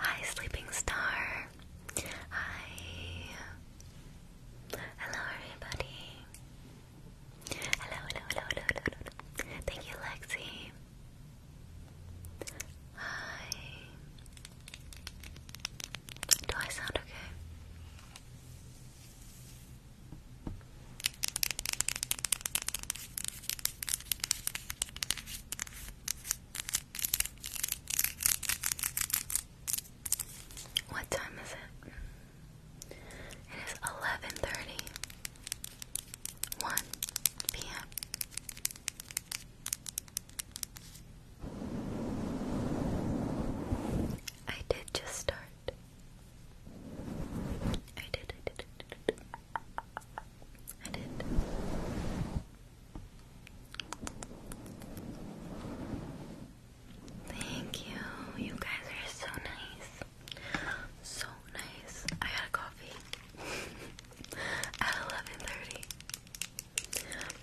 Hi, Sleeping Star. Hi. Hello, everybody. Hello, hello, hello, hello, hello. Thank you, Lexi. Hi. Do I sound okay? What time is it? It is eleven thirty one p.m. I did just start I did, I did, I did. Thank you. You guys are so nice. So nice. I had a coffee at 11:30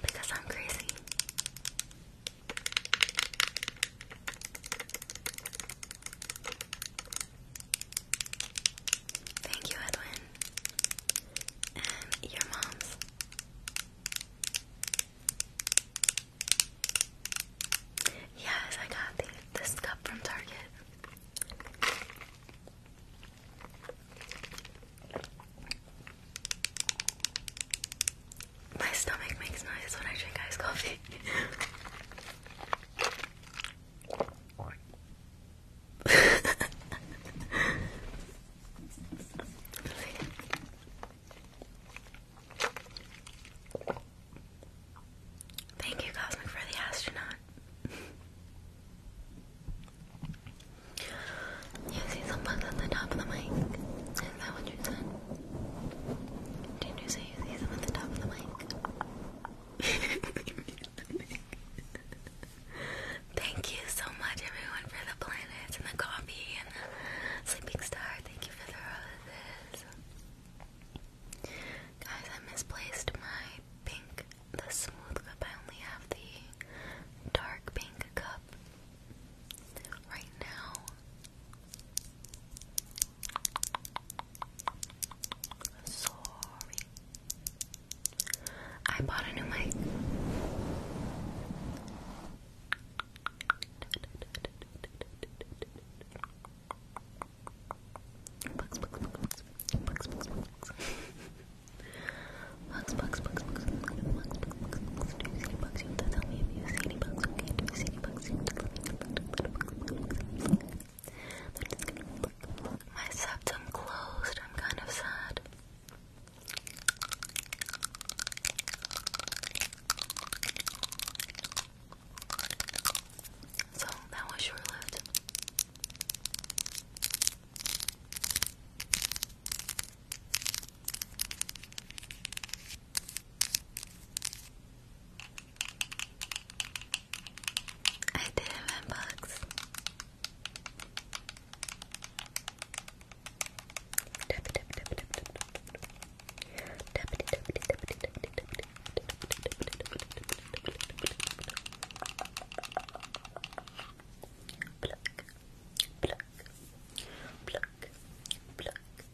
because I'm crazy. Thank you, Edwin. And your mom's. Yes, I got this cup from Target. My stomach makes noise when I drink iced coffee. Thank you, Cosmic, for the astronaut. You see someone at the top of the mic? Is that what you said? did you say you see them at the top of the mic? Thank you so much, everyone, for the planets and the coffee and the sleeping star. Thank you for the roses. Guys, I misplaced my pink, the smooth cup. I only have the dark pink cup right now. Sorry. I bought a new mic. My septum closed, I'm kind of sad. So that was short lived. I didn't have Pluck, pluck, pluck, pluck,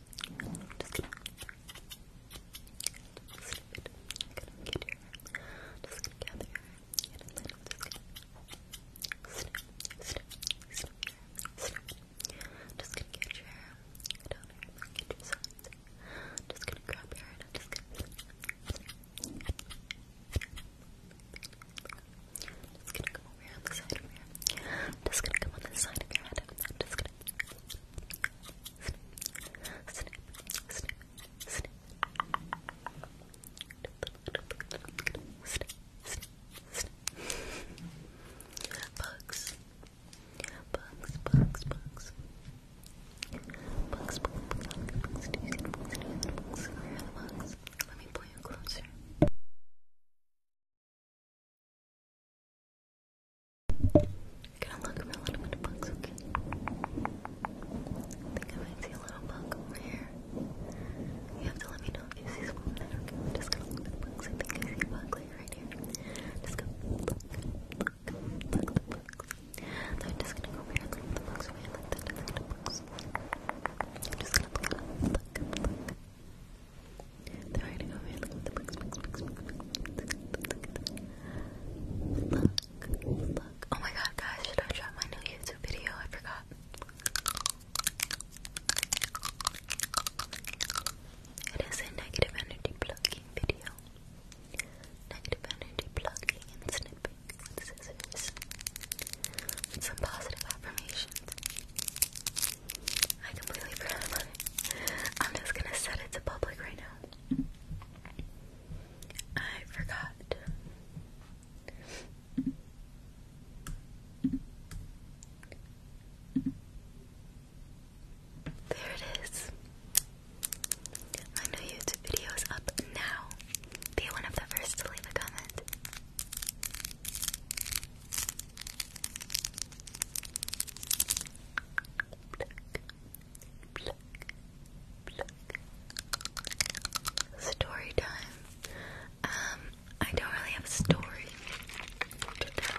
Just slip it. I'm gonna get your hair. Just gonna gather your hair. And then I'm just gonna snip, snip, snip your hair. Snip it. Just gonna get your hair down here. Get your sides. Just gonna grab your hair and I'm just gonna snip, snip. Just gonna come over here, on the side over here. I'm just gonna come on the side of your head. I'm just gonna snip, snip, snip, snip. Snip, snip, snip. Bugs. Bugs, bugs, bugs. Bugs, bugs, bugs, bugs. Do you see the bugs? Do you see the bugs? Where are the bugs? Let me pull you closer. Gonna look for a little bit of bugs, okay? I think I might see a little bug over here. You have to let me know if you see something I'm just gonna look for bugs. I think I see a bug right here. Just go look, look, look the bugs. So I'm just gonna go here and look the bugs away Look I'm just gonna look, look, look. Look Look, Oh my god, guys, should I try my new YouTube video? I forgot. It is a negative energy plugging video. Negative energy plugging and snipping with scissors. And some positive affirmations. I completely forgot I'm just gonna set it to public right now. I forgot. There it is. My new YouTube video is up now. Be one of the first to leave a comment. Story time. Um, I don't really have a story to tell.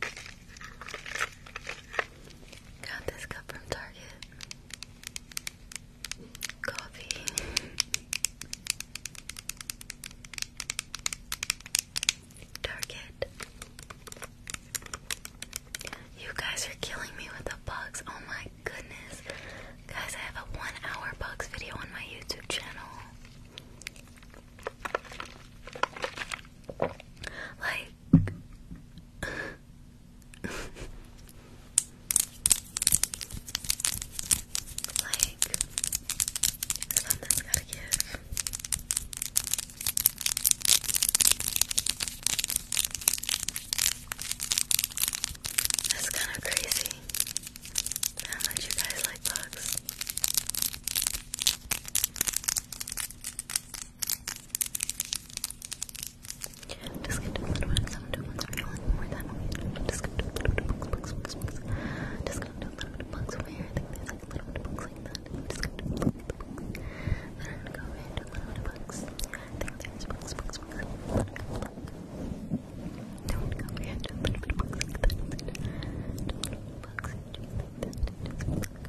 Got this cup from Target. Coffee. Target. You guys are killing me with the bugs. Oh my goodness. Guys, I have a one hour bugs video on my YouTube channel. Like, like, something's gotta give. That's kind of crazy how much you guys like bugs. Just get to the little bit, seven, two, one, sorry, one more time. Just get to a little bit of bugs, bugs, bugs, bugs. Just get to a little bit of bugs over here. I think there's like a little bit of bugs like that. Just get to a little bit of bugs. Then I'm gonna go over here and do a little bit of bugs. I think there's bugs, bugs, bugs. Don't go over here and do a little bit of bugs like that. Do a little bit of bugs. Just like that. Just like that.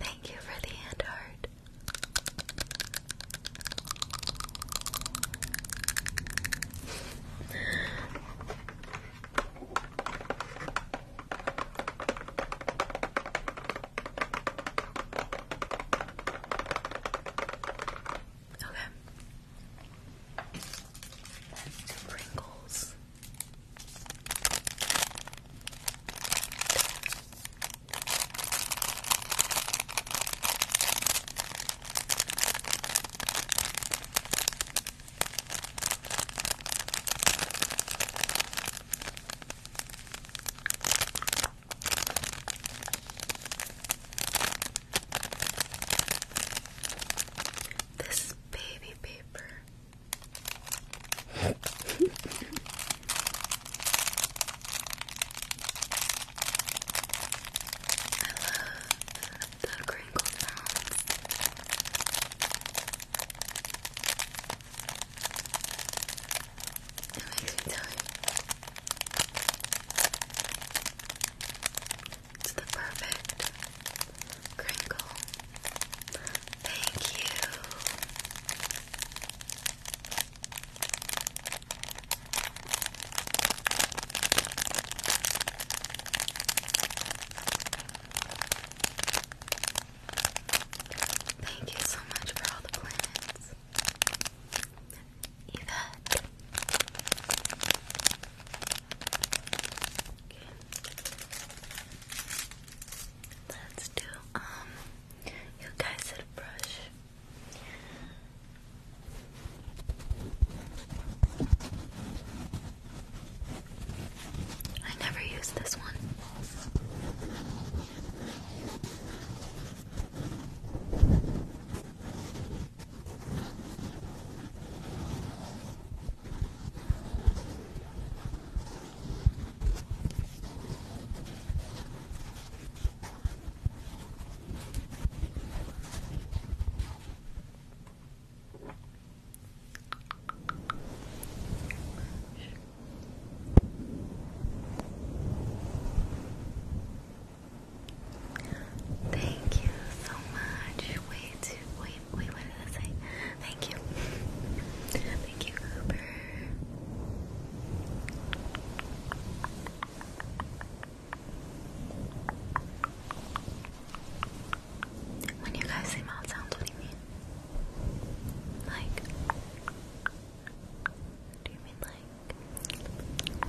Thank you for the hand heart. Okay and two Pringles. This baby paper. I love the crinkle It makes me it's the perfect crinkle. Thank you. Thank you so much for all the planets. Yvette. Okay. Let's do um you guys said brush. I never use this one. Thank you so much. Way too, way wait, what did I say? Thank you. Thank you, Uber. When you guys say mouth sounds, what do you mean? Like, do you mean like?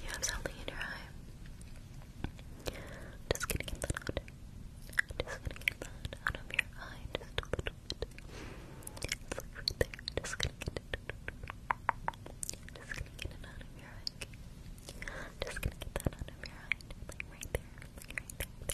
You have something in your eye. Just gonna get that out. Just gonna get that out of your eye just a little bit. there. Just gonna get it. Just gonna get it out of your eye. Just gonna get that out of your eye. right there. right there.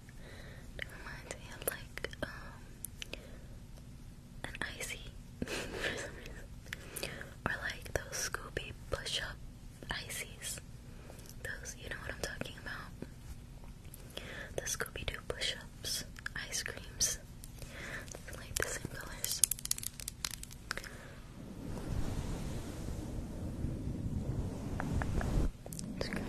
It reminds me of like um an icy Or like those Scooby push up ices. Those you know what I'm talking about. The Scooby Doo push ups, ice creams. They're like the same colors. Scratch.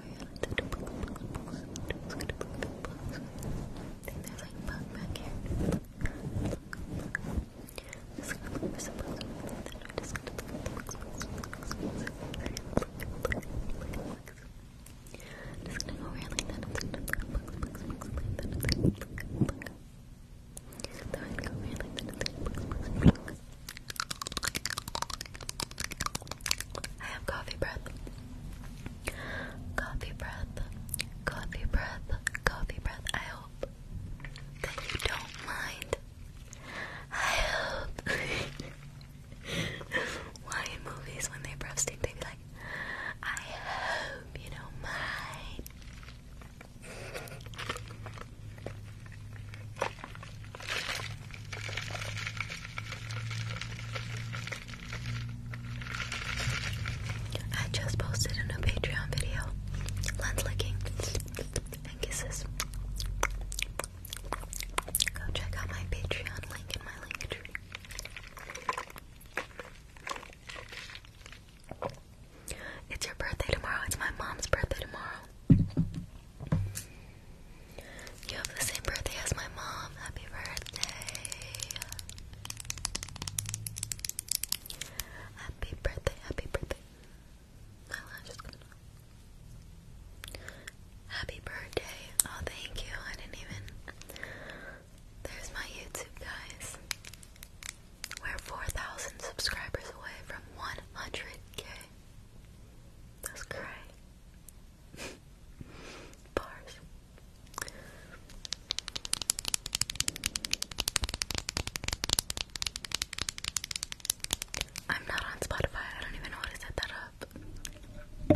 Then there's like bug back here. Just gonna look for some bugs. Then I'm just gonna look at the bugs, bugs, bugs, bugs. Just gonna go around like that. I'm just gonna look at bugs, bugs, bugs, like that. I'm just gonna look at bugs. Then I'm gonna go around like that. I'm just gonna look at bugs, bugs, bugs. I have coffee breath. Coffee breath. Coffee breath. Coffee breath. I hope that you don't mind. I hope. Why in movies when they breath they be like, I hope you don't mind. I just posted a new Patreon video. Lens licking and kisses. Go check out my Patreon link in my link tree. It's your birthday tomorrow. It's my mom's birthday tomorrow. You have the same birthday as my mom. Happy birthday. Happy birthday, happy birthday. My lash is coming Happy birthday. Oh, thank you. I didn't even. There's my YouTube, guys. We're 4,000 subscribers away from 100k. That's great. Bars. I'm not on Spotify. I don't even know how to set that up.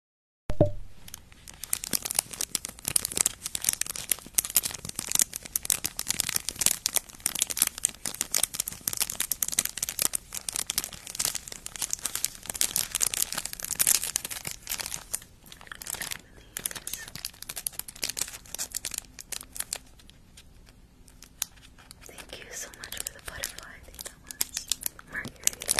Thank you so much for the butterfly. I think Mercury.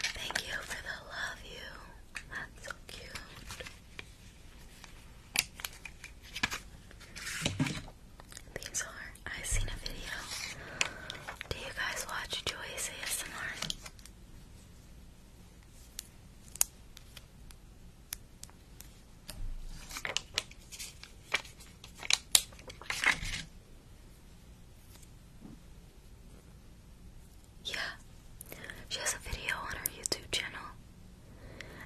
Thank you for the love you. That's so cute. These are, i seen a video. Do you guys watch Joyce ASMR? Yeah, she has a video on her YouTube channel.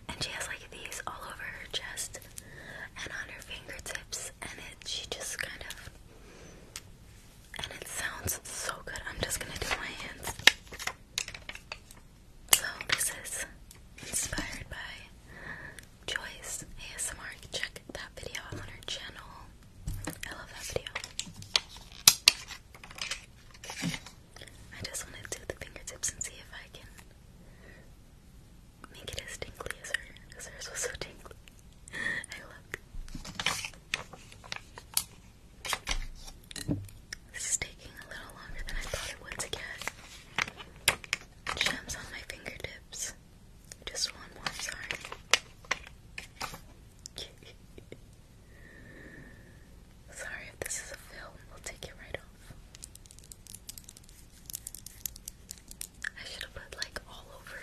And she has like these all over her chest and on her fingertips. And it, she just kind of. And it sounds so good. I'm just gonna do my hands. So, this is inspired by Joyce ASMR. Check that video on her channel. I love that video. I just want to do the fingertips and see if I can make it as tingly as her, because hers was so tingly. I look. This is taking a little longer than I thought it would to gems on my fingertips. Just one more, sorry. sorry if this is a film, we'll take it right off. I should have put like all over.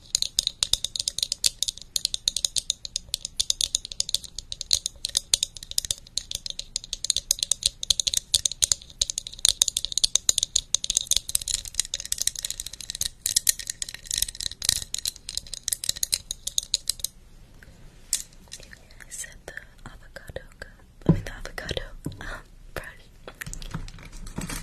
I said the avocado cup, I mean the avocado um, brush.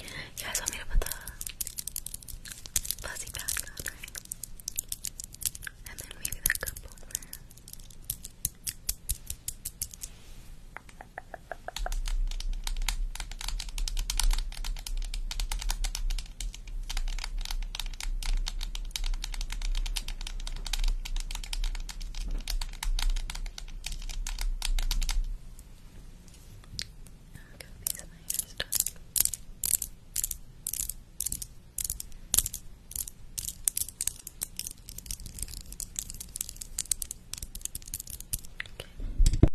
You guys want me to put the fuzzy back on, And then maybe the cup i am gonna be of my hair Okay.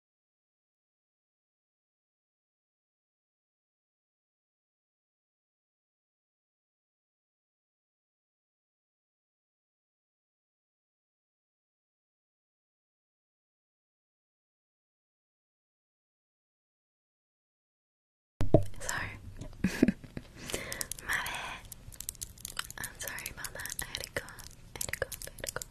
Sorry. My I'm sorry about that. I had a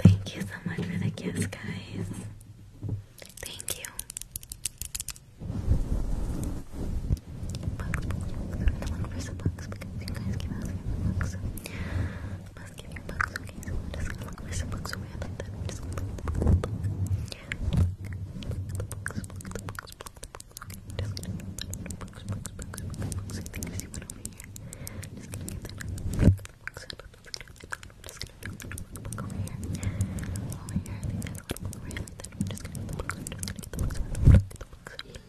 Thank you so much for the gifts, guys. Thank you. bugs, bugs, bugs. I don't want to press the bugs because you guys keep asking for bugs. So I must give you bugs, okay? So we're just gonna look for some bugs over here like that. We're just gonna look at the bugs. Look, look, look, the bugs, look, the bugs, look, the bugs. Okay, just gonna look at the bugs, bugs, bugs, bugs, bugs. I think I see one over here. Just gonna get that out. Bugs, look, look, look, look, look. Just gonna put the little bug over here. Over here, I think there's a little bug over here like that. I'm just gonna get the bugs, I'm just gonna get the bugs, I'm just gonna get the bugs.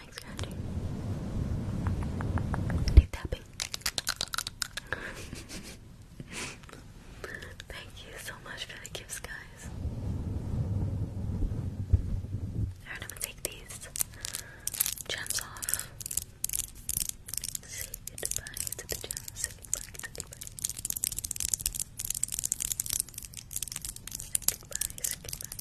mic scratching. Keep Thank you so much for the gifts, guys. I'm gonna take these gems off. Say goodbye to the gems. Say goodbye I can put them back if you like.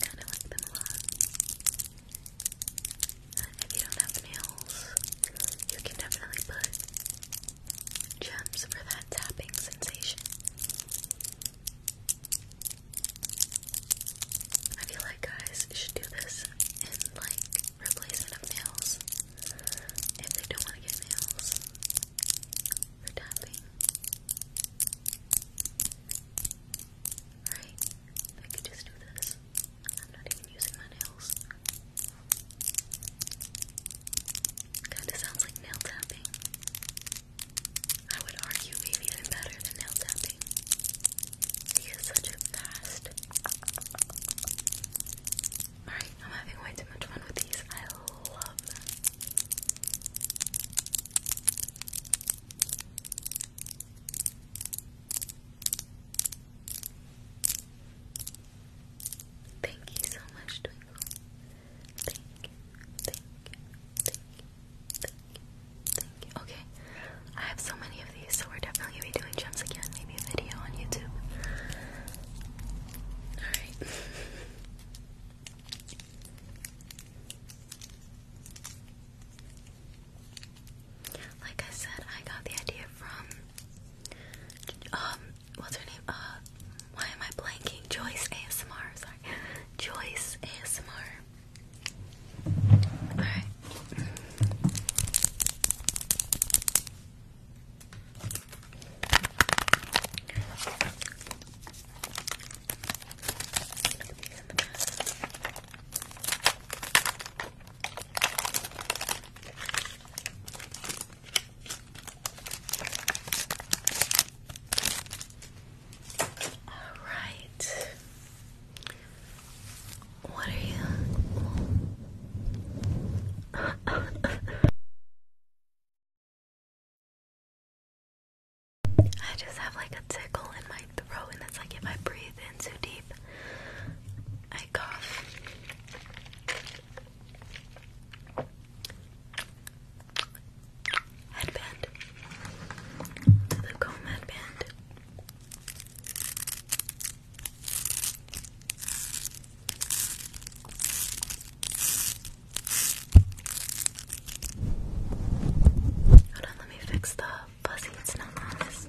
kinda like them a lot. If you don't have nails, you can definitely put gems for that tapping sensation. I feel like guys should do this in like replacement of nails if they don't want to get nails for tapping. Right? I could just do this. I'm not even using my nails. Kind of sounds like nail tapping. I would argue maybe even better than nail tapping. He such a fast. Alright, I'm having way too much fun with these. I love them. Thank you so much, Twinkle. Okay, I have so many of these, so we're definitely gonna be doing jumps again. Maybe a video on YouTube. Alright. Like I said, I got the idea from um what's her name? Uh, why am I blanking? Joyce ASMR. Sorry, Joyce ASMR. All right. All right. What are you? I just have like a tickle in my throat, and it's like if I breathe in too deep, I cough. Headband. The comb headband. Hold on, let me fix the fuzzy. It's not nice.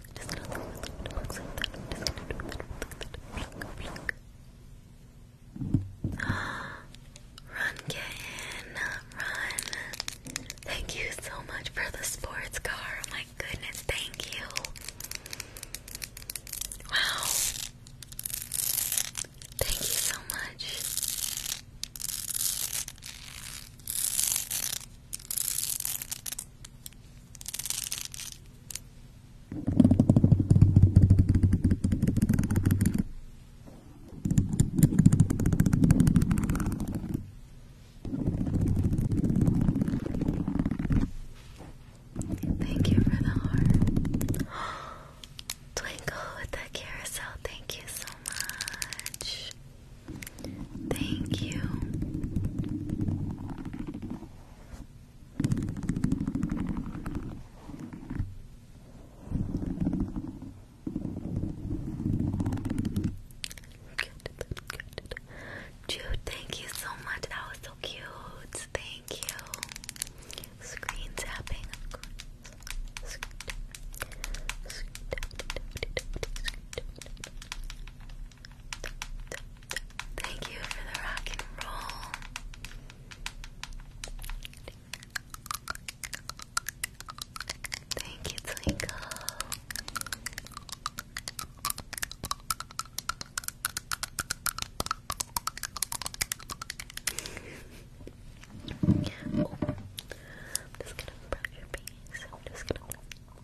Run, kitten. Run. Thank you so much for the sports car. Oh my goodness, thank you. Wow. Thank you so much. Thank you for the heart. Twinkle with the carousel, thank you so much. Thank you. Good, good. Jude, thank you so much. That was so cute. Thank you. Screen tapping, Thank you for the rock and roll. Thank you, Twinkle. I'm just gonna brush your face. I'm just gonna.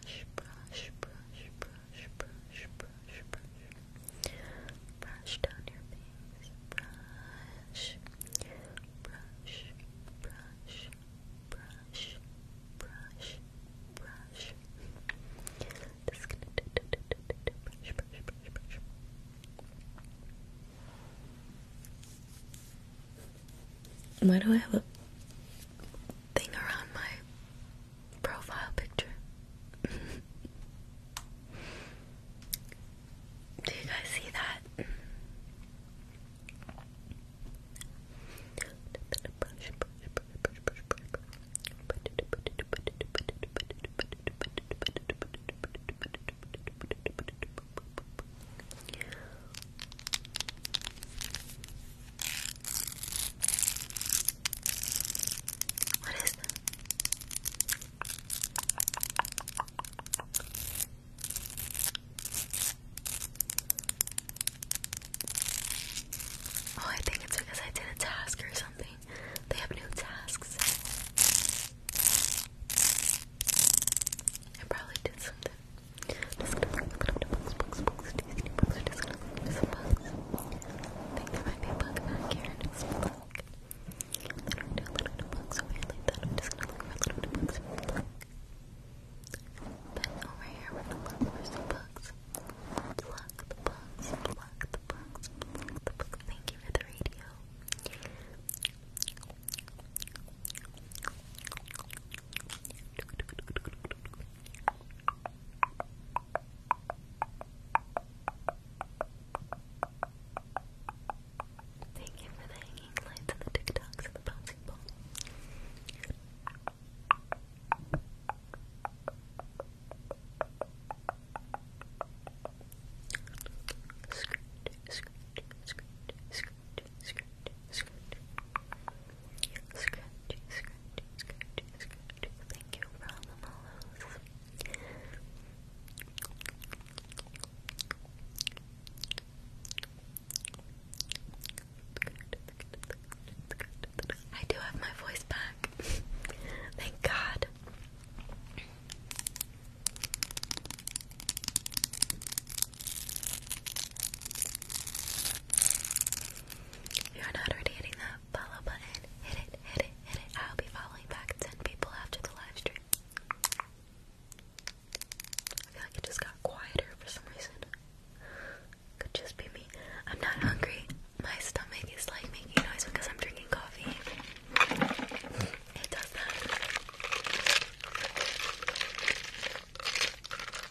brush, brush, brush, brush, brush, brush, brush. Brush down your face. Brush, brush, brush, brush, brush, brush. Just Why do I have a thing around my profile picture. Do you guys see that? Oh, I think it's because I did a task or something. They have new tasks. I probably did something. Just gonna look up the bugs, bugs, bugs. Do you see any bugs? We're just gonna look for some bugs. I think there might be a bug back here and it's black. I don't do a little bit of bugs over here like that. I'm just gonna look for a little bit of bugs and black. Then over here we're gonna look for some bugs. Pluck the bugs, pluck the bugs, pluck the bugs. Thank you for the radio. Thank you for the hanging lights and the TikToks and the bouncing ball. Scratch, scratch, scratch, scratch, Thank you for all the follows. I do have my voice back. Thank God you're not already hitting that follow button, hit it, hit it, hit it. I'll be following back 10 people after the live stream. I feel like it just got quieter for some reason. Could just be me. I'm not hungry. My stomach is like making noise because I'm drinking coffee. It does that.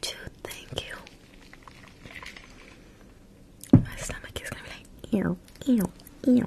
Dude, thank you. My stomach is gonna be like, ew, ew, ew.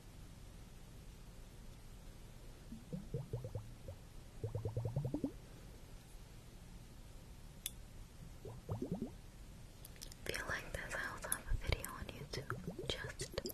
If you like this, I also have a video on YouTube just these.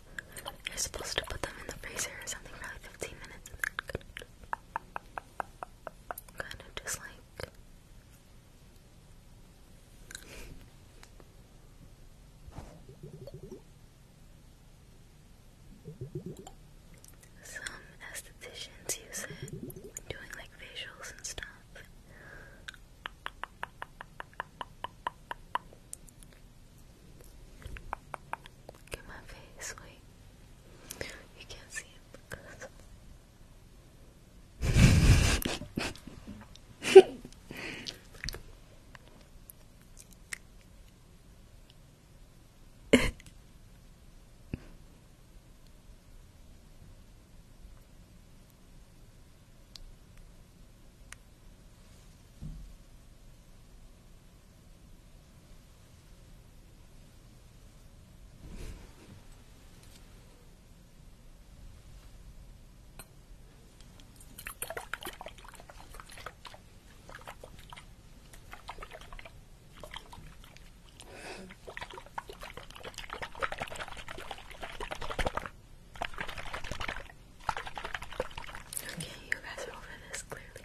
You're supposed to put them in the freezer or something for like 15 minutes and then kind of just like. Some estheticians use it doing like facials and stuff. Look at my face, wait. You can't see it because. Okay, you guys are over this clearly.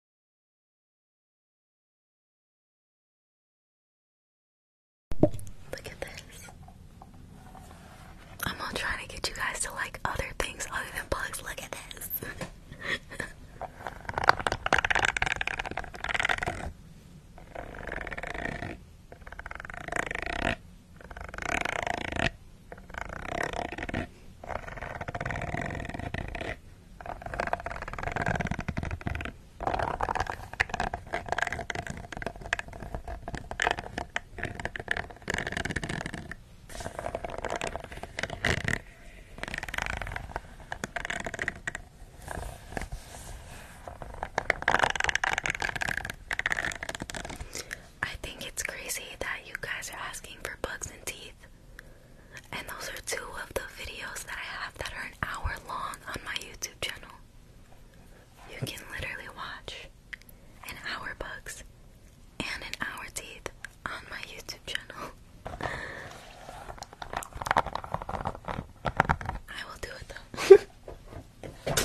Look at this. I'm all trying to get you guys to like other things other than bugs. Look at this. I think it's crazy that you guys are asking for bugs and teeth. And those are two of the videos that I have that are an hour long on my YouTube channel. You can literally watch an hour bugs and an hour teeth on my YouTube channel. I will do it though.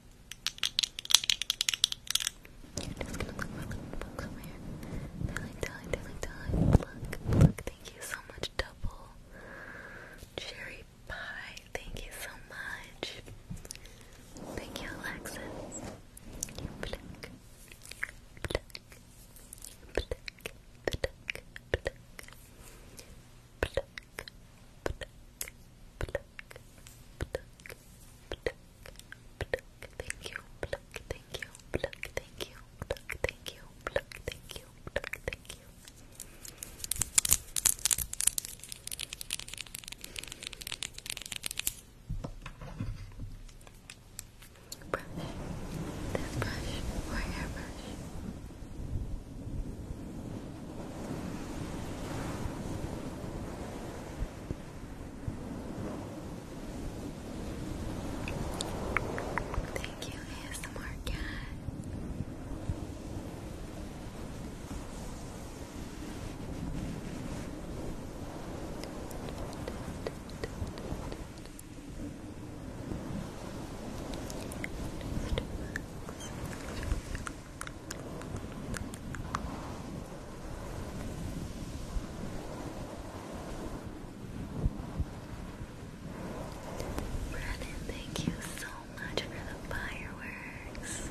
You're just gonna look my little books over here. Darling, darling, darling, darling. Look, look, thank you so much, double. Cherry pie, thank you so much. Thank you, Alexis pluck, thank you, thank you, thank you, thank you, thank you, thank you. Brush, this brush or hairbrush. Thank you, ASMR cat. Brennan, thank you so much for the fireworks.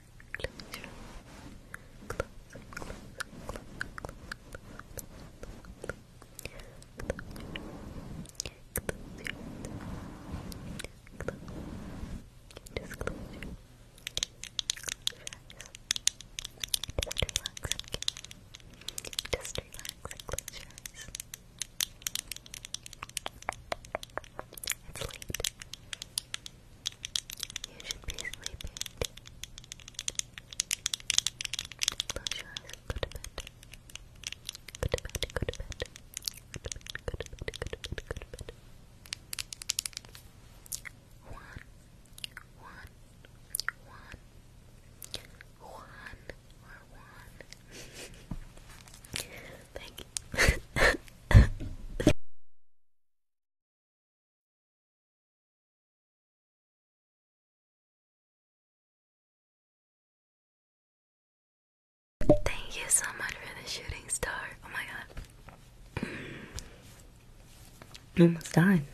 Close your eyes. Close, close, close, close, close. Close your eyes. Close. Just close your eyes. Just relax. Just relax and close your eyes. It's late. You should be sleeping. Close your eyes go to bed. Go to bed, go to bed. Go to bed, go to bed, go to bed, go to bed. One, one, one, one, or one. Thank you. Thank you so much for the shooting star. Oh my god. Mm. Almost done.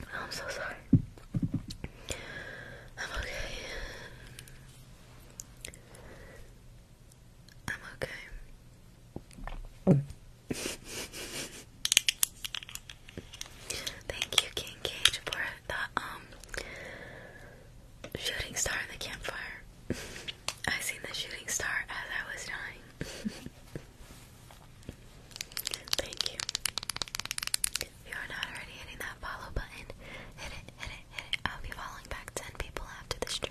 I'm so sorry. I'm okay. I'm okay. Thank you, King Cage, for the um, shooting star in the campfire. I seen the shooting star as I was dying. Thank you. If you are not already hitting that follow button, hit it, hit it, hit it. I'll be following back 10 people after this stream.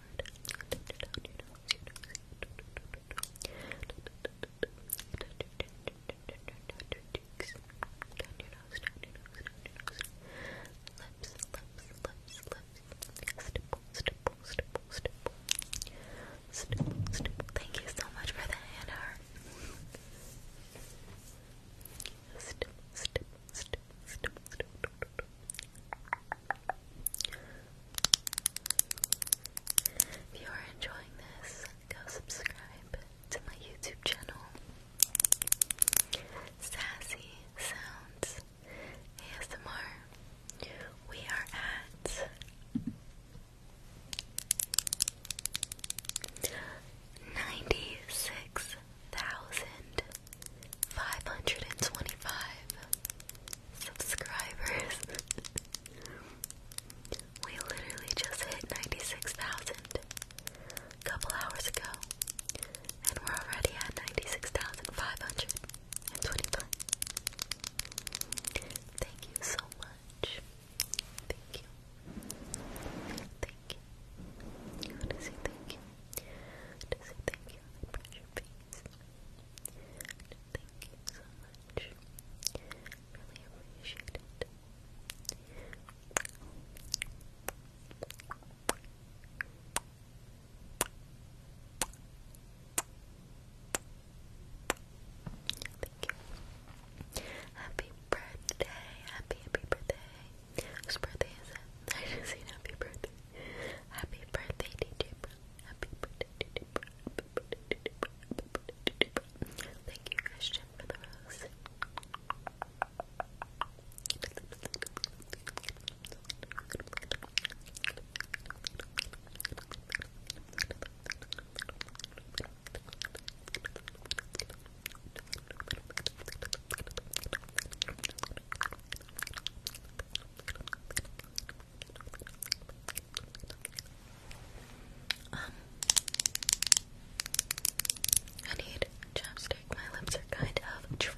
Lips, lips, lips, lips. Stipple, stipple, stipple, stipple. Stipple, Thank you so much for the honor. If you are enjoying this, go subscribe to my YouTube channel, Sassy Sounds ASMR. We are at 96 6,525 subscribers. we literally just hit 96,000 a couple hours ago, and we're already at 96,525. Thank you so much. Thank you. Thank you. I want to say thank you. to say thank you thank you so much. Really appreciate it. Thank you. Happy birthday, happy, happy birthday. Whose birthday is it? I just seen happy birthday. Happy birthday, DJ Bro. Happy birthday, DJ Bro. Thank you, Christian, for the rose. Um, I need chapstick. My lips are kind of dry.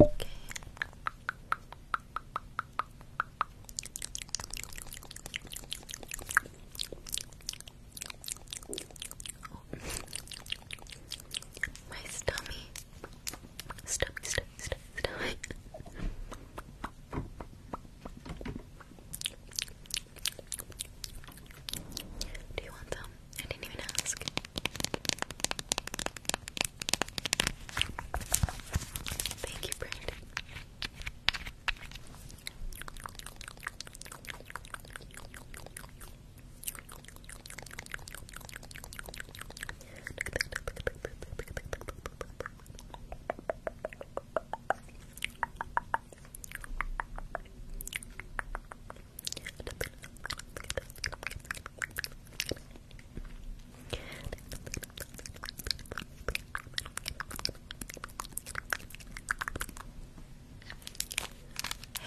Okay. Oh. My stomach, stomach, do you want them? I didn't even ask. Thank you, Brandon.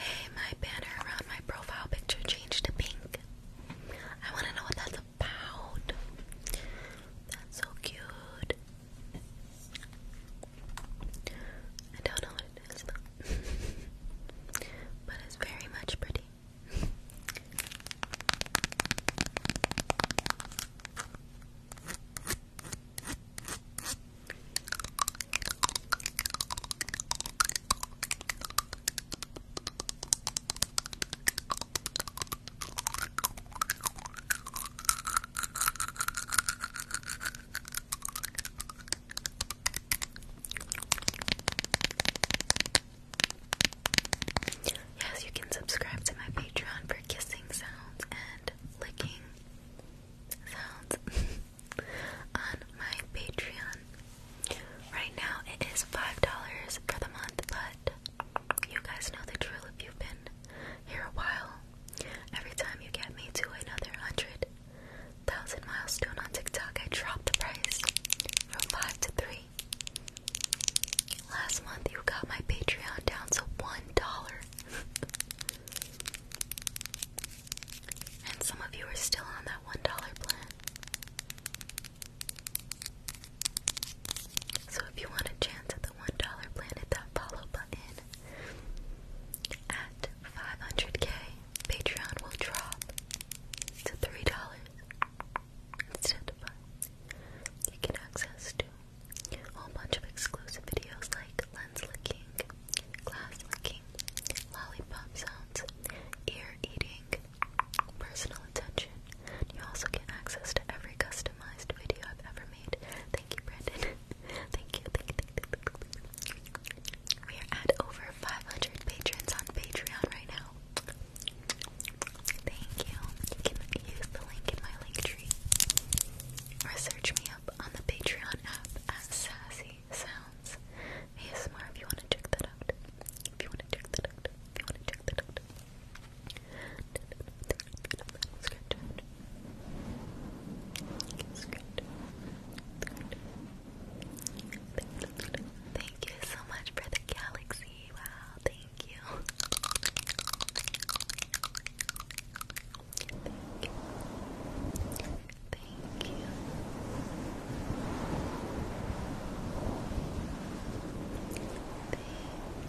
Hey, my banner around my profile picture changed to pink. I want to know what that's pound. That's so cute. I don't know what it is though. but it's very much pretty. Yes, you can subscribe to my Patreon for kissing sounds and licking sounds on my Patreon. Right now it is $5 for the month, but you guys know the drill if you've been here a while. Every time you get me to another hundred thousand milestone on TikTok, I drop the price from five to three. Last month, you got my Patreon down to one dollar, and some of you are still on that one dollar plan. So if you want a chance at the $1 Planet That Follow button at 500k, Patreon will drop to $3 instead of 5 You get access to a whole bunch of exclusive videos like lens licking, glass licking, lollipop sounds, ear eating, personal attention. You also get access to every customized video I've ever made. Thank you, Brandon. thank you, thank you, We are at over 500 patrons on Patreon right now. Thank you. You can use the link in my link tree. Or me up on the Patreon app as Sassy Sounds ASMR if you want to check that out. If you want to check that out. If you want to check that out. Thank you so much for the galaxy. Wow, thank you. Thank you. Thank you.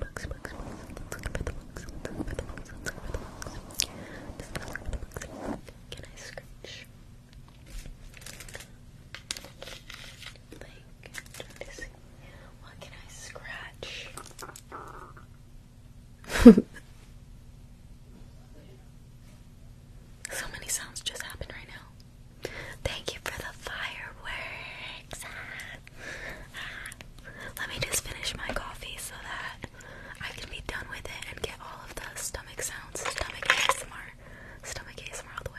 Books, books, books. Let's look at the books. Let's look at the books. Let's look at the books. Let's look at the books. Can I scratch? Like, try to see. What can I scratch? So many sounds just happen right now. Thank you for the fireworks. Ah, ah. Let me just finish my coffee so that I can be done with it and get all of the stomach sounds. Stomach ASMR. Stomach ASMR all the way.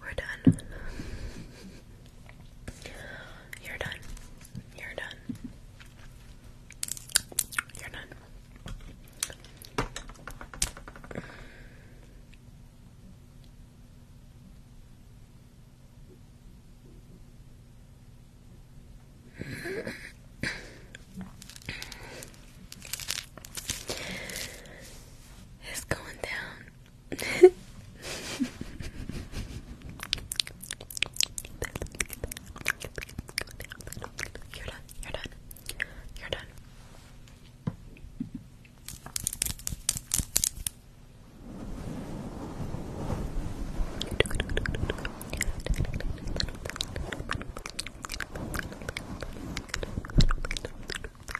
We're done. You're done. You're done. You're done. It's going down. You're done. You're done. You're done.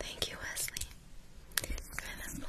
Thank you, Wesley, for the flowers.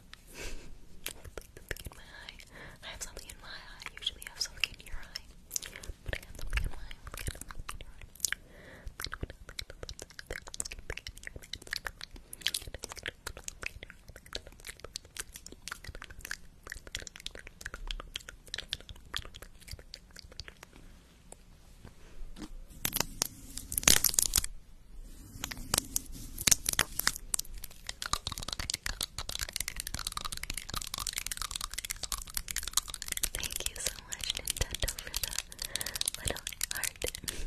something in I have something in my eye. usually have something in your eye. But I have something in my Thank you so much, Nintendo, for the little heart. Let's do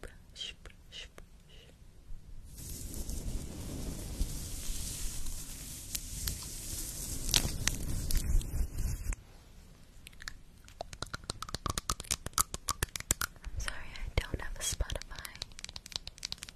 brush, brush, I'm sorry, I don't have a Spotify.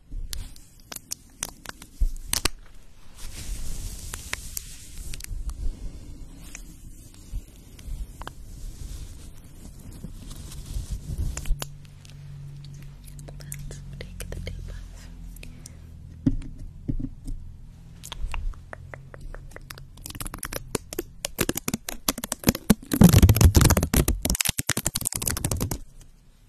Let's take the tape off. Okay.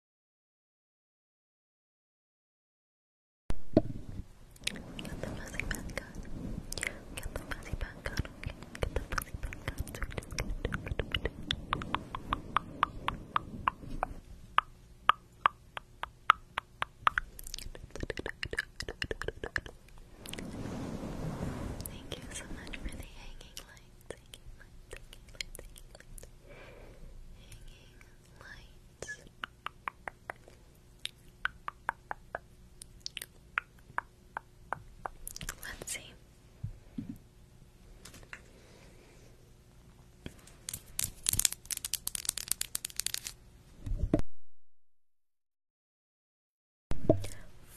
Get the fuzzy back on. Get the fuzzy back on. Get the fuzzy back on. Thank you so much for the hanging lights, hanging lights, hanging lights. Let's see.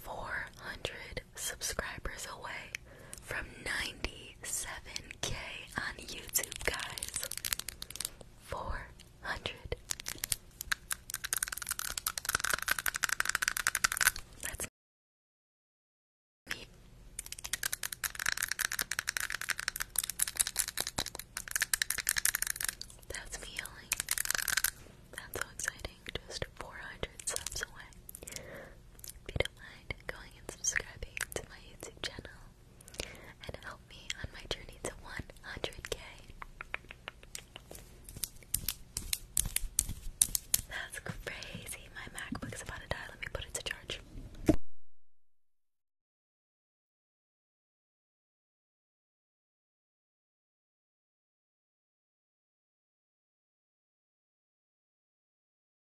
Four hundred subscribers away from ninety 7 k on YouTube, guys. 400. That's me. That's me yelling. That's so exciting. Just 400 subs away. If you don't mind going and subscribing to my YouTube channel, and help me on my journey to 100k. That's crazy. My MacBook's about to die. Let me put it to charge.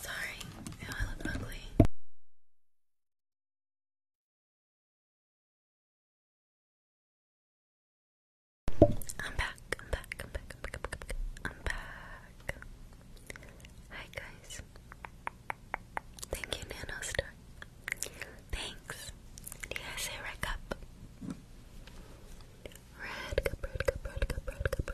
Sorry, I look ugly. I'm back, I'm back, I'm back, I'm back, I'm back, Hi guys. Thank you, Nanostar. Thanks. Do you guys say red cup? Red cup, red cup, red cup, red cup,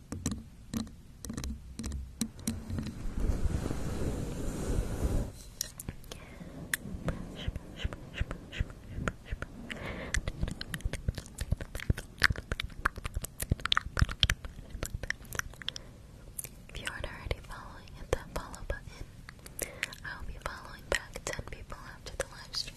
If you aren't already following, hit that follow button. I'll be following back 10 people after the live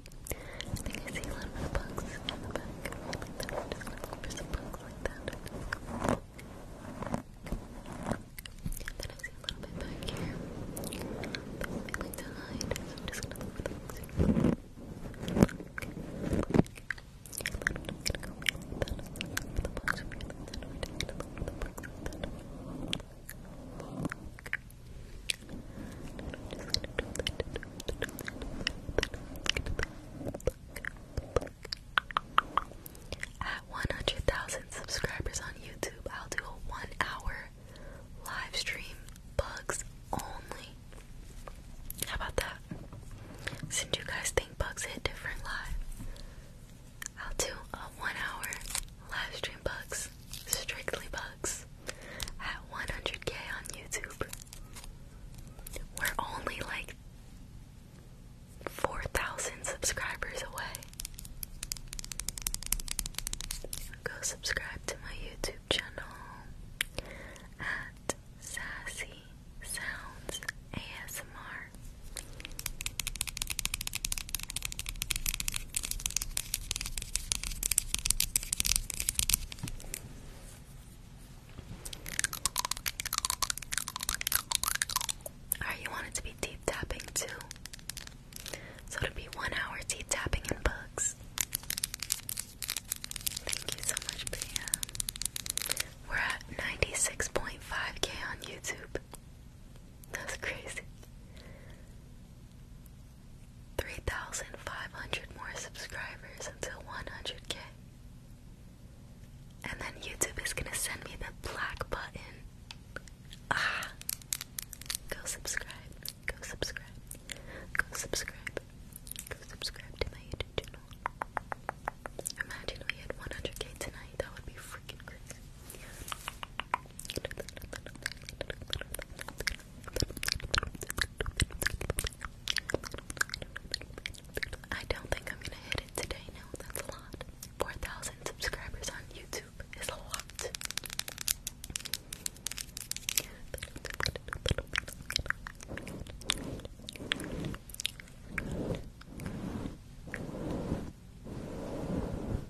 I think I see a little bit of bugs in the back. Like that. I'm just gonna look for some bugs like that. I'm just then I see a little bit back here. They like to hide, so I'm just gonna look for the bugs. I'm just gonna go like that. I'm just gonna look for the bugs like that. I'm just gonna look for the bugs like that. I'm just gonna look for the bugs like that. At 100,000 subscribers on YouTube, I'll do a one hour live stream, bugs only. How about that? Since you guys think bugs hit different live, I'll do a one hour live stream, bugs, strictly bugs at 100k on YouTube. We're only like 4,000 subscribers away. Go subscribe to my YouTube channel at Sassy Sounds ASMR. Alright, you want to be deep tapping too. So it be one hour deep tapping and Thank you so much, Priya. We're at 96.5k on YouTube. That's crazy. 3,500 more subscribers until 100k. And then YouTube is gonna send me the black button. Ah! Go subscribe, go subscribe, go subscribe, go subscribe to my YouTube channel. Imagine we had 100k tonight, that would be freaking crazy. I don't think I'm gonna hit it today. No, that's a lot. 4,000 subscribers on YouTube is a lot.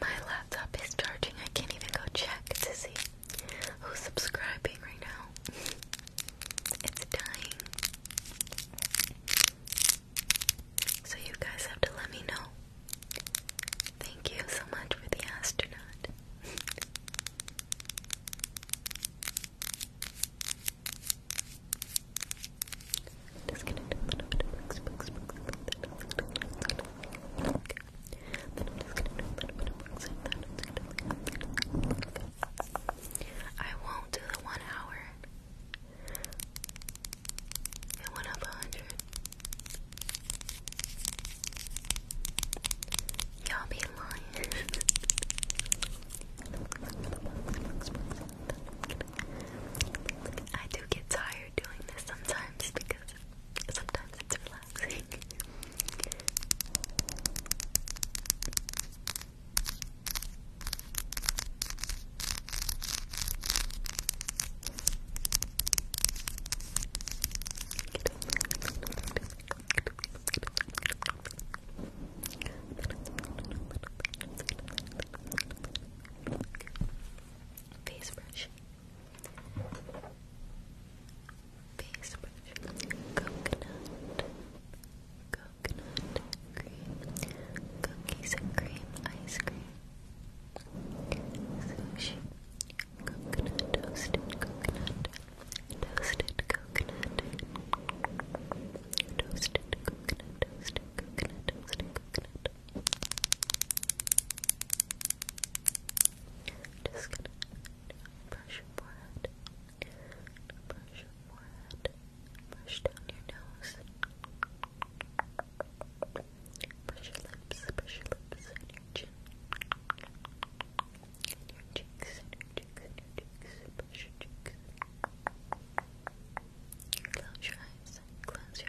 My laptop is charging. I can't even go check to see who's subscribing right now. it's dying. So you guys have to let me know. Thank you so much for the astronaut. i do won't do the one hour. It went up hundred. Y'all be lying. I do get tired tired doing this sometimes because sometimes it's relaxing. Okay. Face brush. Face brush. Coconut. Coconut cream. Cookies and cream ice cream. Sushi. Coconut toasted coconut. Toasted coconut. Toasted coconut. Toasted coconut. Just gonna brush your forehead. Brush your forehead. Brush down your nose. Brush your lips. Brush your lips and your chin. And cheeks. cheeks. cheeks. Brush your cheeks. Close your eyes. Close your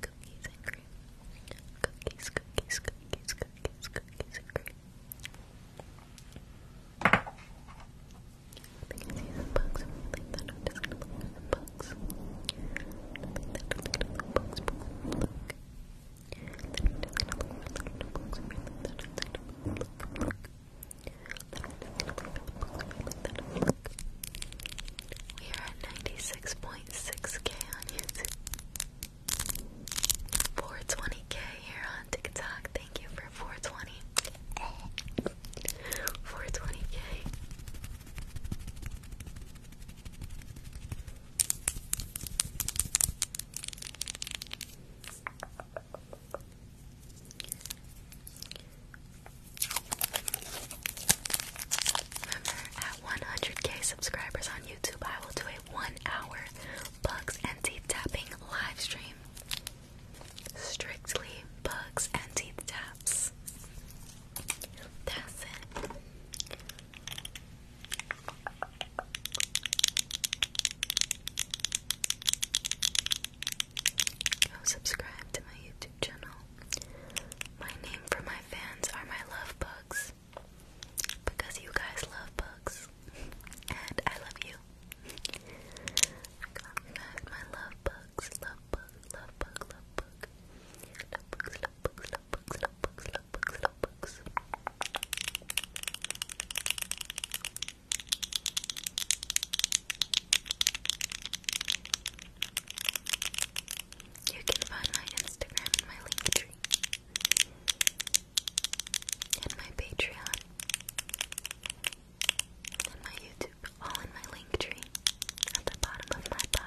cookies and cream. Cookies, cookies, cookies, cookies, cookies and cream. I think I see some bugs. I'm gonna leave that. I'm just gonna look for some bugs. Leave that little little bugs. Look. Then I'm just gonna look for little bugs. I'm gonna leave that. I'm just gonna look for bugs. Then I'm just gonna look for little bugs. I'm gonna leave that. We are at 96.6k on YouTube. 420k here on TikTok. Thank you for 420. 420k at 100k subscribers on YouTube, I will do a one-hour Bugs and Tapping live stream. Strictly Bugs and Taps. That's it. Go subscribe to my YouTube my name for my fans are my love bugs. Because you guys love bugs. And I love you. my love bugs, love bug, love bug, love bug. love bugs, love bugs, love bugs, love bugs, love bugs. You can find my Instagram and my link tree. And my Patreon. And my YouTube. All in my link tree. At the bottom of my bio.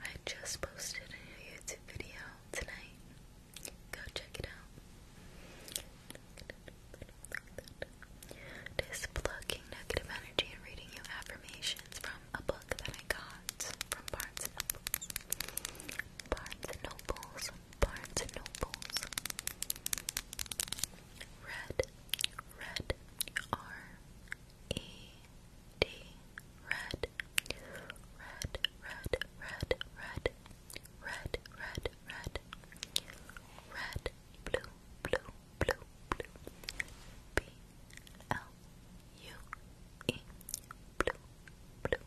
I just posted a new YouTube video tonight. Go check it out. Displugging negative energy and reading you affirmations from a book that I got from Barnes and Nobles. Barnes and Nobles. Red, red, R E D, red, red, red, red, red, red, red, red, red, blue, blue, blue, blue, B L U E, blue, blue,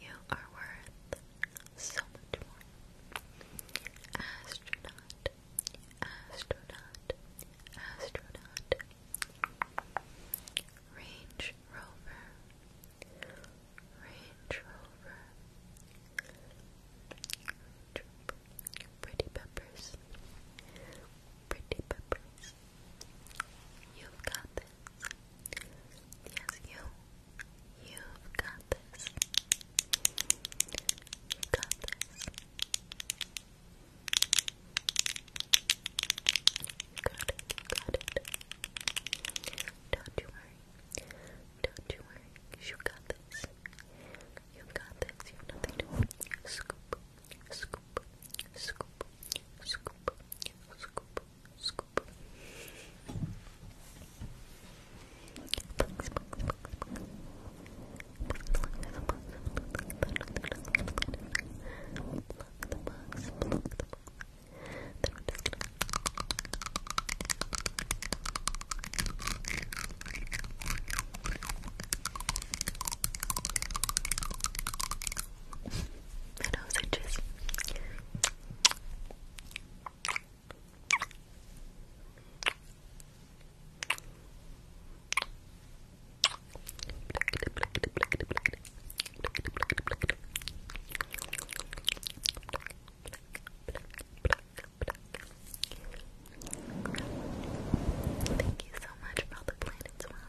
You are worth so much more. Astronaut, astronaut, astronaut. Range Rover, Range Rover. Pretty peppers, pretty peppers. You've got this. Yes, you. You've got this. got this. got it. got it. Don't you worry. Don't you worry. You got this. you got this. You've nothing to worry. scoop, scoop, scoop, scoop, scoop, scoop. My nose Thank you so much for all the planets, well. Wow.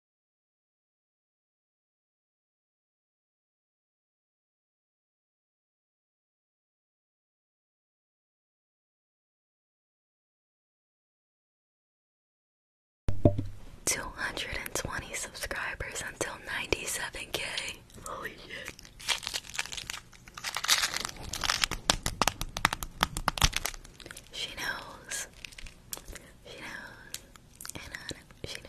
220 subscribers until 97k. Holy shit. She knows. She knows. And Anna, she knows.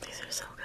These are so good.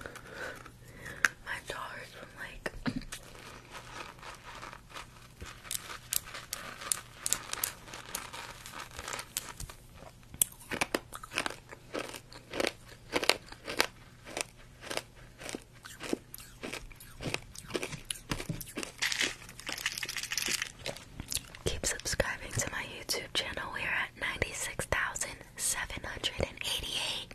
My dollars from like Keep subscribing to my YouTube channel. We are at 96,788.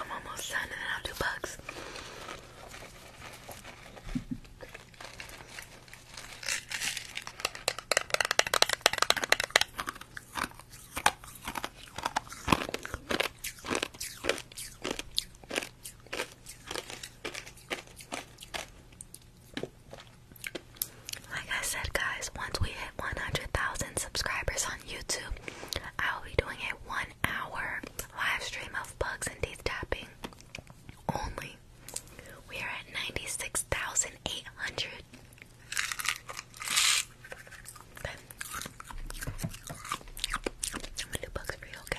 I'm almost done and then I'll do bugs. Like I said, guys, once we hit 100,000 subscribers on YouTube, I will be doing a one hour live stream of bugs and teeth tapping only. We are at 96,800. Okay. I'm bugs for okay?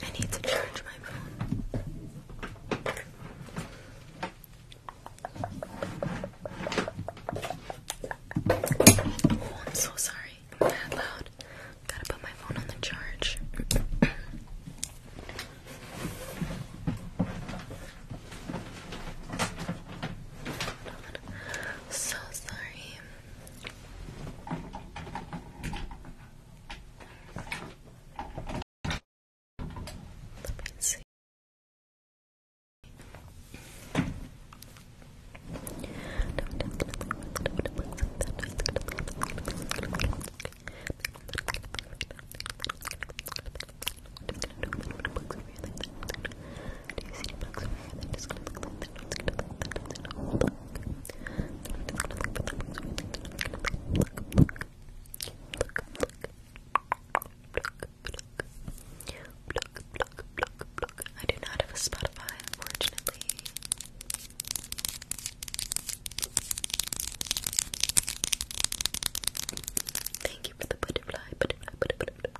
I need to charge my phone. Oh, I'm so sorry. I'm mad loud. Gotta put my phone on the charge. So sorry. Let me see. Do you see any bugs over here? Then just gonna look like that. Just gonna look like that. Just gonna look. Just gonna look for the bugs over there. Just gonna look, look, look, look, look, look, look, look, look. I do not have a Spotify, unfortunately. Thank you for the butterfly, butterfly, butterfly,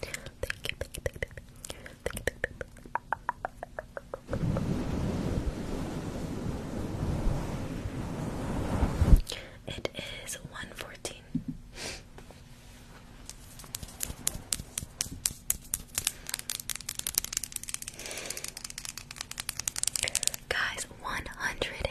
thank you, thank you, thank you, thank you. It is one fourteen. Guys, 100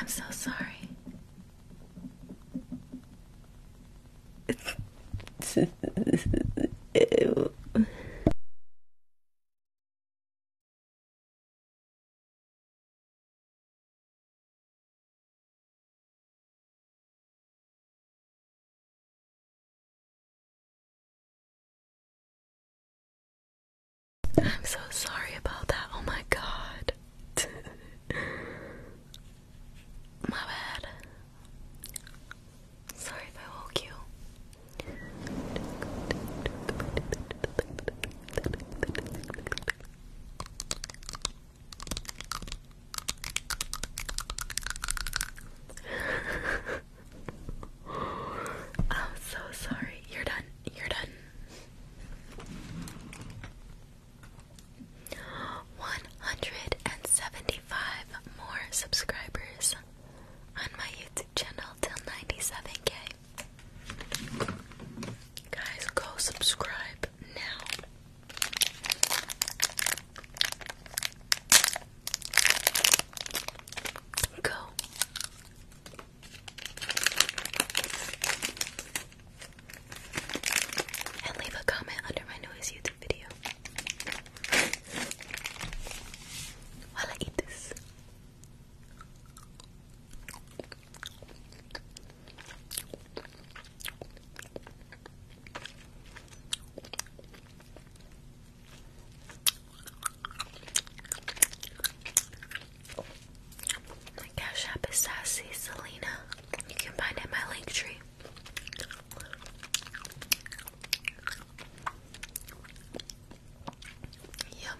I'm so sorry. Ew. I'm so sorry about that. Oh my god. my bad. Sorry if I woke you. i so sorry. You're done. You're done. 175 more subscribers on my YouTube channel till 97k. Guys, go subscribe up now. Go. And leave a comment under my newest YouTube video. While I eat this. Oh my cash app is sassy Selena. You can find it in my link tree. Yum.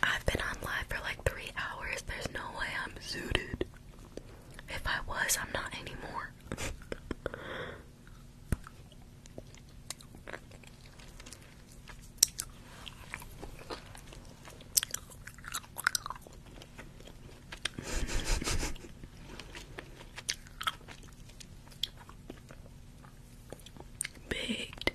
I've been on live for like three hours. There's no way I'm zooted. If I was, I'm not anymore. Baked.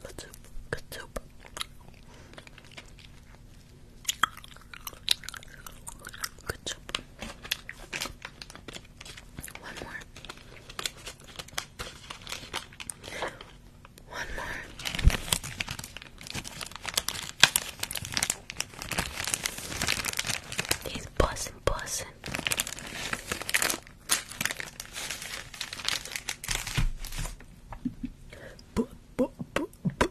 Good soup, good soup. Good soup. One more. One more. He's buzzing, buzzing. Bu bu bu bu.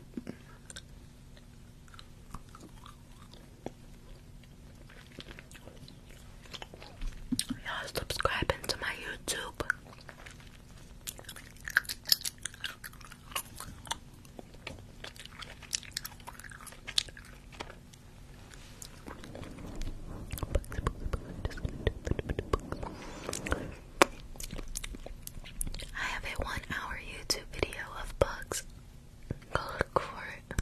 Y'all subscribing to my YouTube. I have a one hour YouTube video of bugs. Go look for it.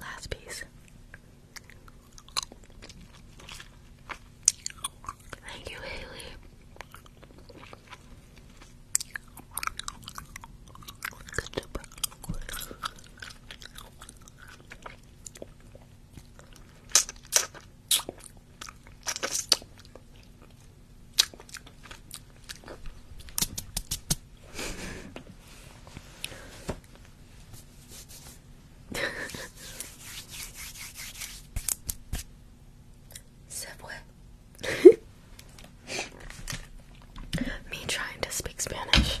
Last piece. Thank you, Haley. Good job. C'est Me trying to speak Spanish.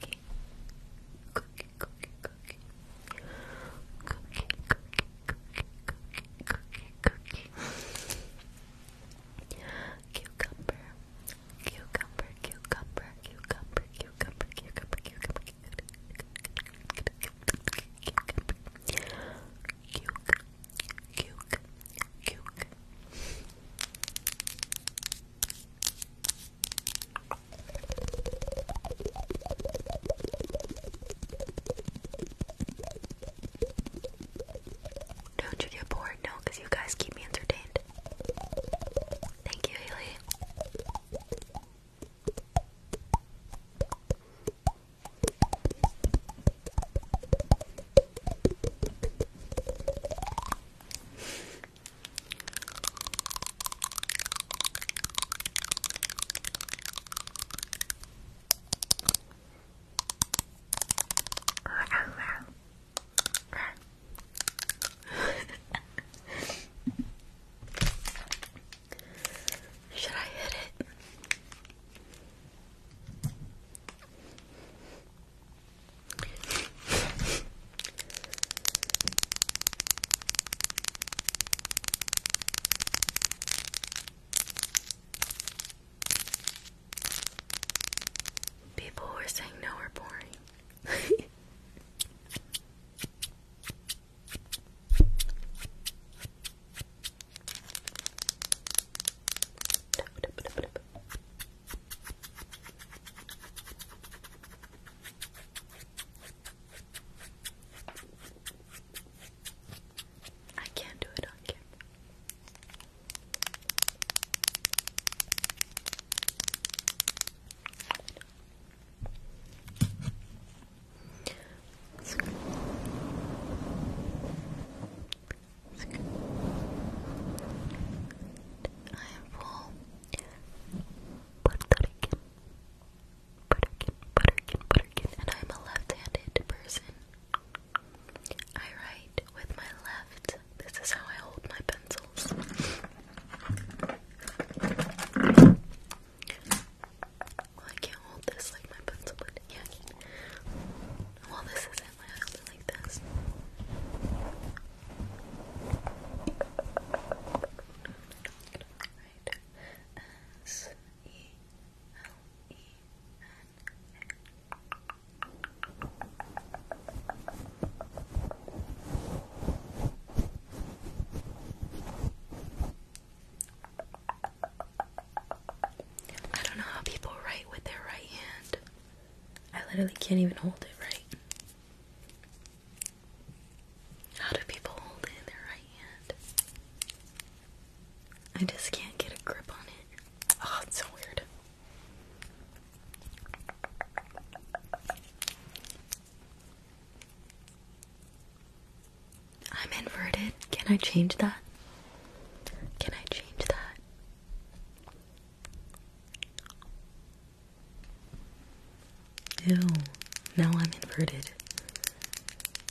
cookie, cookie, cookie, cookie, cookie, cookie, cookie, cookie, cookie, cookie. Cucumber, cucumber, cucumber, cucumber, cucumber, cucumber, cucumber, cucumber, cucumber. Cuke, cuke, cuke. Don't you get bored? No, because you guys keep me entertained. Thank you, Haley. Should I hit it? People were saying no are boring. I can't do it on I am full Puerto Rican. Butterkin, Butterkin, Butterkin, and I'm a left-handed person. I write with my left. This is how I hold my pencils. I can't hold this like my pencil would. Yeah, Well, this isn't. I hold like this. S E L E N. I don't know how people write with their right hand. I literally can't even hold it right. How do people hold it in their hand? I just can't get a grip on it. Oh, it's so weird. I'm inverted. Can I change that? Can I change that? Ew, now I'm inverted.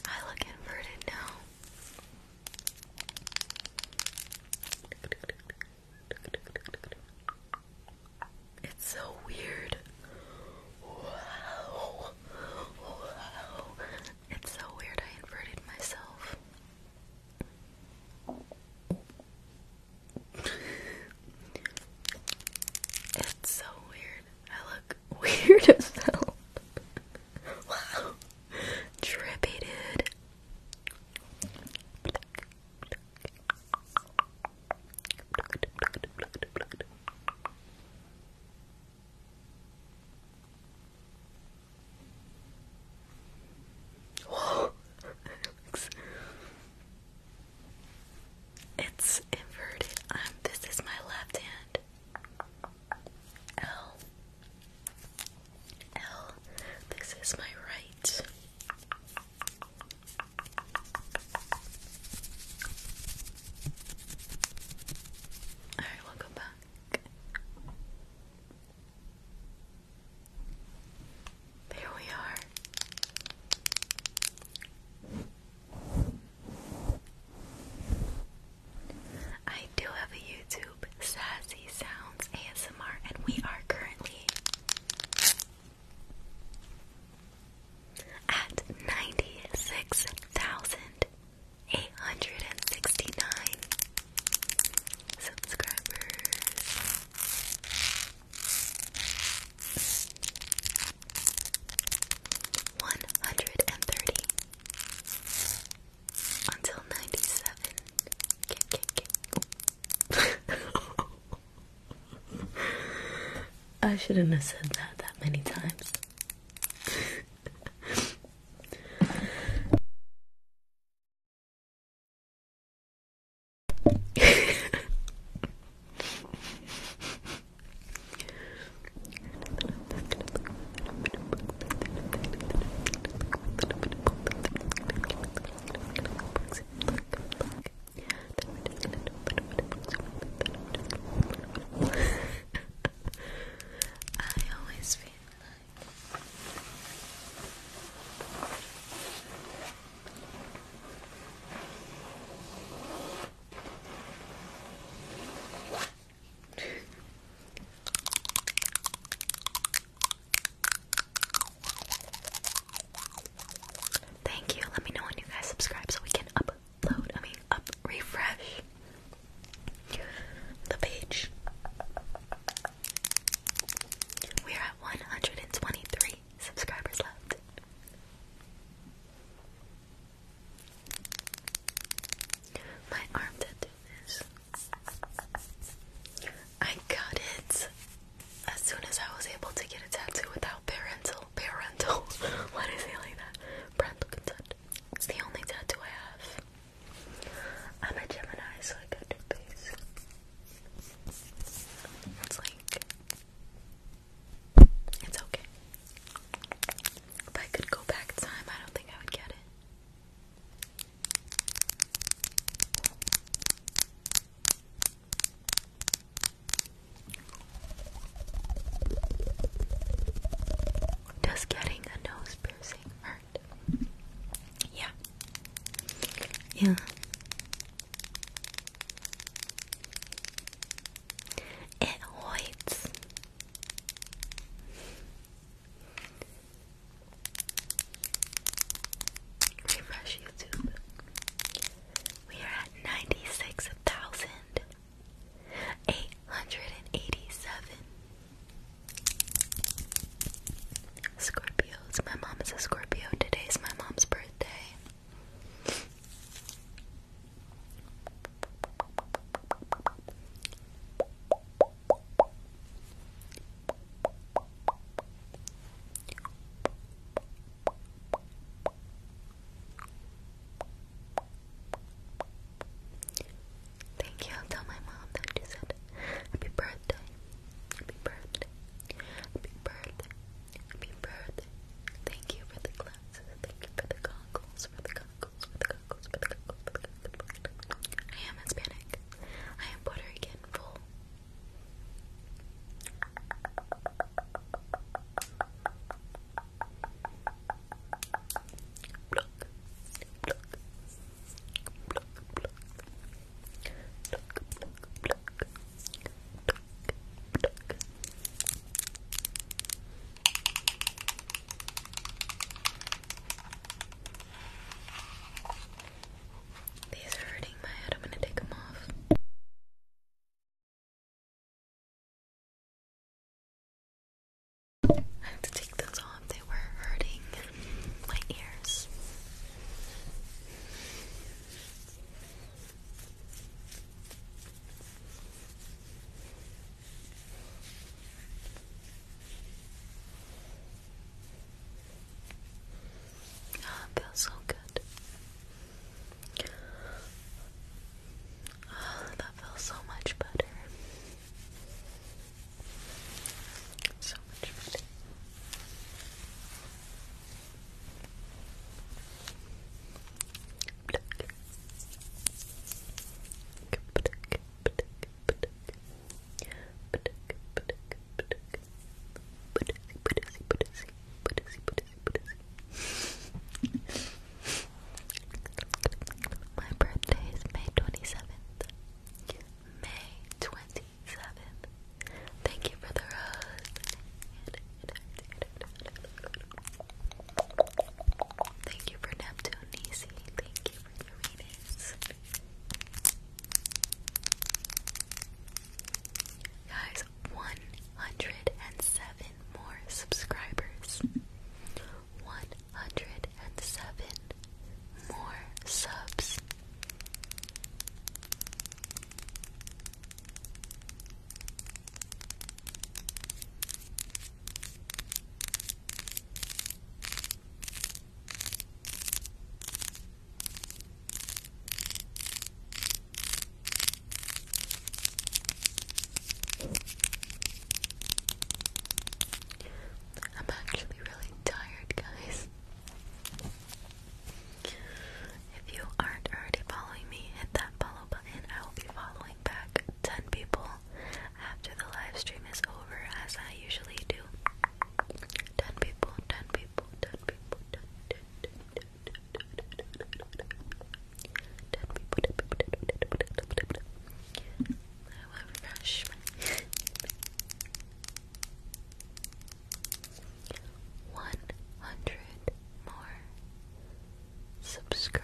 I look inverted now. It's so weird. Wow. It's so weird I inverted myself. it's so weird. I look weird as hell. wow. Trippy, dude. Whoa. It's inverted. Um, this is my left hand. L. L. This is my right. Alright, we'll go back. There we are. I do have a YouTube, Sassy Sounds ASMR, and we are currently at 96,869 subscribers. 130 until 97 I shouldn't have said that that many times I always feel like Thank you. Let me know when you guys subscribe so we can upload, I mean, up refresh the page. We're at 123 subscribers left. My arm tattoo is. I got it as soon as I was able to get a tattoo without parental parental. Why did I say that? Parental consent. It's the only tattoo I have. I'm a Gemini, so I got two face. It's like it's okay. If I could go back time, I don't think I would get it. Does getting a nose piercing hurt? Yeah. Yeah. It hoits. Refresh YouTube. We are at ninety six thousand eight hundred and eighty seven. Scorpios. My mom is a Scorpio. Today's my mom's birthday. Thank you. I'll tell my mom that you said happy birthday. Happy birthday. Happy birthday. Happy birthday. Thank you for the glasses. Thank you for the goggles. For the goggles. For the goggles. For the goggles. For the goggles. I am Hispanic. I am Puerto Rican full. Pluck. Pluck. Pluck. Pluck. Pluck. Pluck. Pluck. These are hurting my head. I'm going to take them off. to take those off. They were hurting my ears. Ah, it feels so good. Oh, that feels so much better. So much better. My birthday is May twenty seventh. May twenty seventh. Thank you for the rose. Thank you for Neptune, Nisi. Thank you for Uranus. Guys, 107 more subscribers. 107 more subs. I'm actually really tired, guys. If you aren't already following me, hit that follow button and I will be following back 10 people after the live stream is over, as I usually do. 10 people, 10 people, 10 people, 10, 10, 10, 10 people, 10 people, 10 people. I will refresh my. One hundred more subscribers.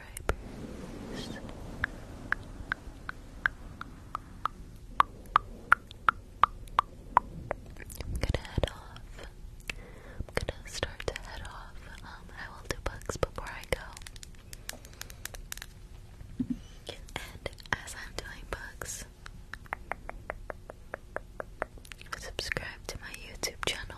I'm gonna head off. I'm gonna start to head off. Um, I will do bugs before I go. And as I'm doing bugs, subscribe to my YouTube channel.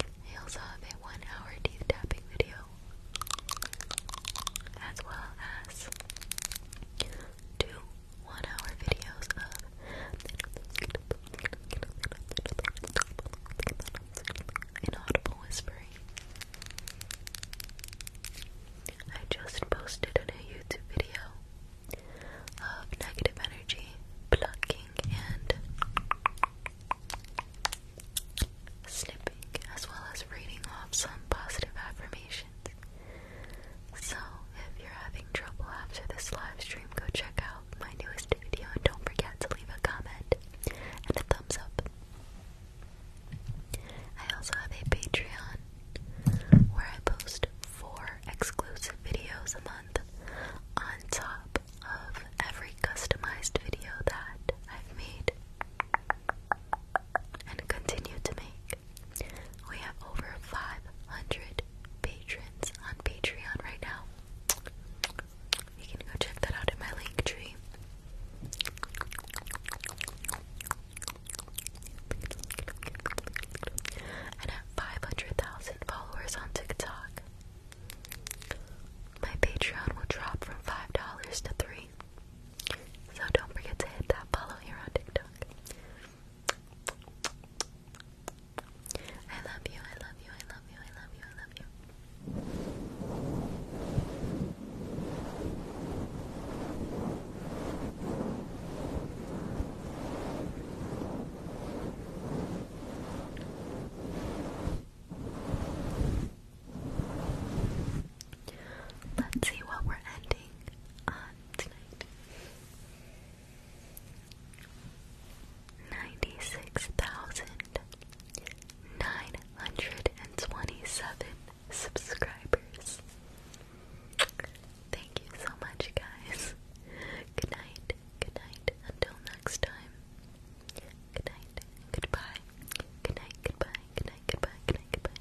I also have a one hour teeth tapping video, as well as two one hour videos of inaudible whispering. I just posted a YouTube video of negative energy, plucking, and snipping as well as reading off some positive affirmations. So, if you're having trouble after this live stream, go check out my newest video and don't forget to leave a comment and a thumbs up. I also have a Patreon where I post four exclusive videos a month on top of every customized video that I've made and continue to make. We have over 500 patrons on Patreon right now. You can go check that out in my link tree. And 500,000 followers on TikTok, my Patreon will drop from $5 to 3 So don't forget to hit that follow here on TikTok. I love you, I love you, I love you, I love you, I love you. Let's see what we're ending on tonight. Ninety-six thousand nine hundred and twenty-seven subscribers. Thank you so much, guys. Good night. Good night. Until next time. Good night. Goodbye. Good night. Goodbye. Good night. Goodbye. Good night. Goodbye.